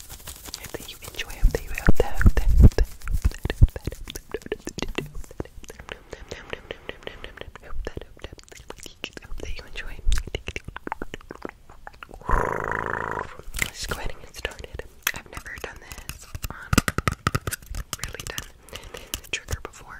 hope that you enjoy, hope that you hope that, hope that, hope that, hope that, hope that, hope that, hope that you enjoy. Let's go ahead and get started. I've never done this on, really done the trigger before.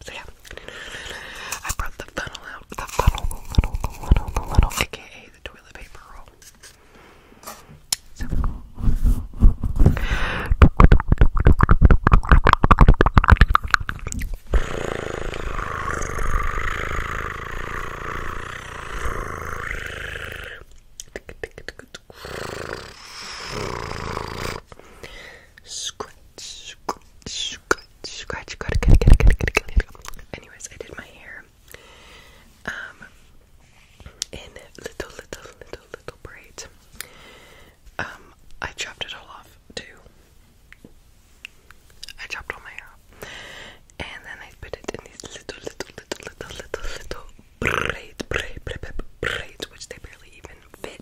So yeah, I brought the funnel out. The funnel, the funnel, the funnel, the funnel, aka the toilet paper roll. So. Scratch, scratch, scratch, scratch, scratch, Anyways, I did my hair um in little, little, little, little braids. Um, I chopped it all off too. I chopped all my hair off, and then I put it in these little, little, little, little, little, little braids, braids, braids, braids, braids which they barely even fit.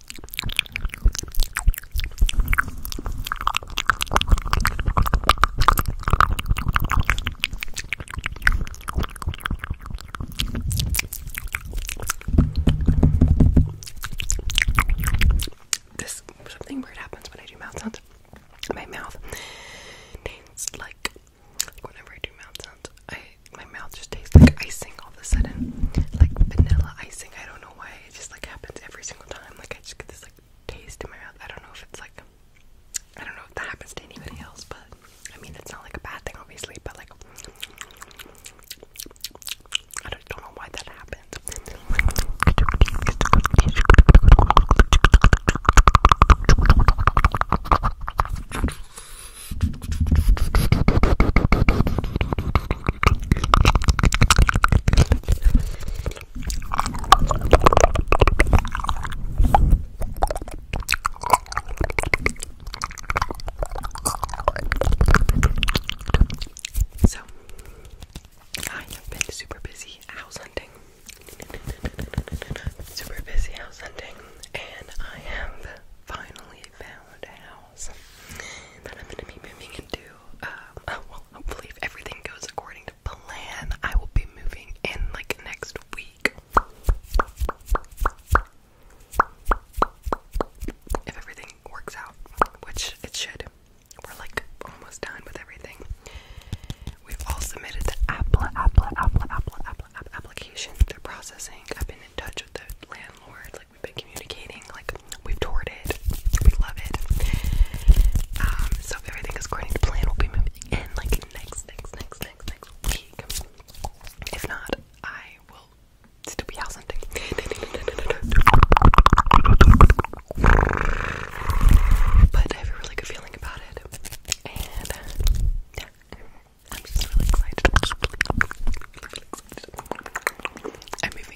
this something weird happens when I do mouth sounds. My mouth tastes like, like whenever I do mouth sounds, I my mouth just tastes like icing all of a sudden, like vanilla icing. I don't know why it just like happens every single time. Like I just get this like taste in my mouth. I don't know if it's like I don't know if that happens to anybody else, but I mean it's not like a bad thing obviously, but like I don't, know why that happens. So, I have been super busy house hunting. Super busy house hunting, and I have finally found a house then I'm gonna be moving into, um, well, hopefully if everything goes according to plan, I will be moving in like next week. If everything works out, which it should. We're like almost done with everything. We've all submitted the Apple, Apple, Apple, Apple, Apple, application. They're processing. I've been in touch with the landlord we've been communicating, like we've toured it, we love it. Um, so everything is according to plan, we'll be moving in like next, next, next, next, next If not, I will still be house hunting. but I have a really good feeling about it, and yeah, I'm just really excited. I'm moving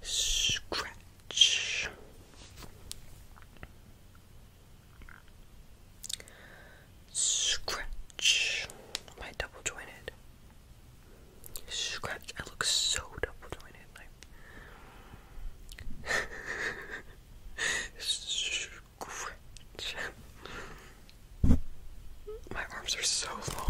Scratch. Scratch. Am double jointed? Scratch. I look so double jointed. My arms are so long.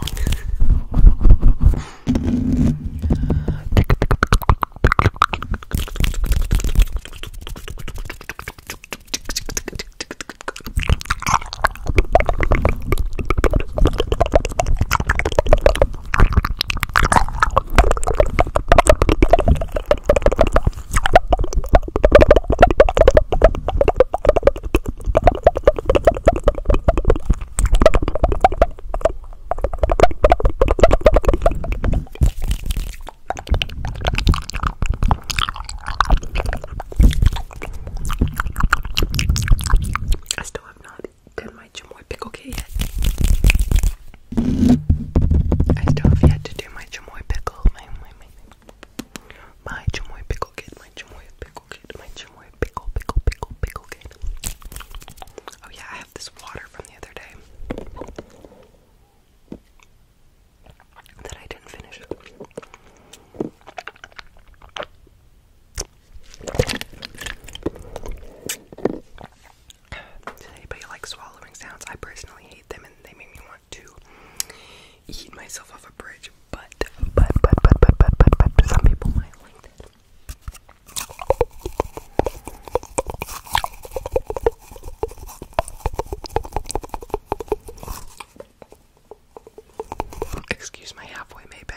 I still have not done my chamoy pickle yet. I still have yet to do my chamoy pickle. My, chamoy pickle My chamoy pickle. Picklegate. My Chimoy pickle, pickle, pickle, Picklegate. Oh yeah, I have this water from the other day that I didn't finish. Does anybody like swallowing sounds? I personally hate them and they make me want to eat myself off a bridge, but, but, but, but, but, but, but, but, but some people might like that. Excuse my halfway made bed.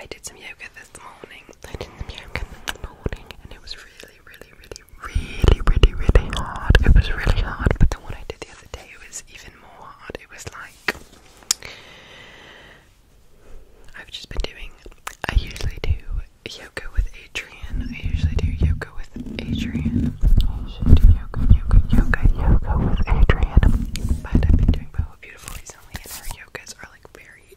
I did some yoga this morning morning. in the morning and it was really, really, really, really, really, really hard. It was really hard, but the one I did the other day it was even more hard. It was like I've just been doing I usually do yoga with Adrian. I usually do yoga with Adrian. I usually do yoga, yoga, yoga, yoga with Adrian. But I've been doing Boho Beautiful recently and her yogas are like very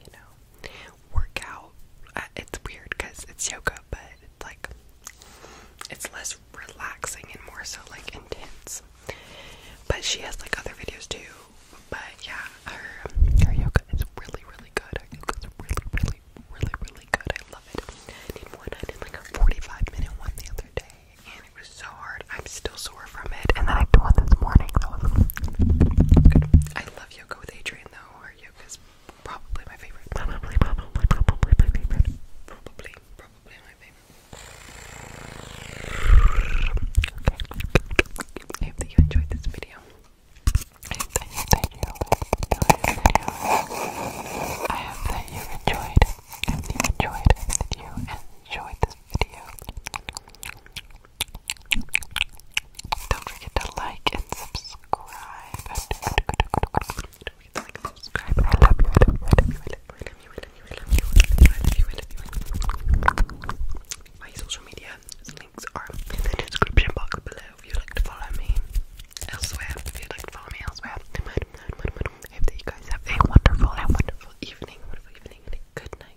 you know, work it's weird because it's yoga, but it's like it's less relaxing and more so like intense. But she has like other videos too. But yeah, her her yoga is really really good. Her yoga is really really really really good. I love it. I did one. I did like a forty-five minute one the other day, it was so hard. I'm still sore from it, and then I did one this morning. That was good. I love yoga with Adrian though. Her yoga is probably my favorite. Probably, probably, probably my favorite. Probably, probably my favorite. Okay. I hope that you enjoyed this video. I hope that you enjoyed this I hope that you enjoyed. that you enjoyed. that you enjoyed this video. Don't forget to like and subscribe. Don't forget to like and subscribe. I love you, I love My social media links are in the description box below if you'd like to follow me elsewhere. If you'd like to follow me elsewhere, I hope that you guys have a wonderful and wonderful evening, good night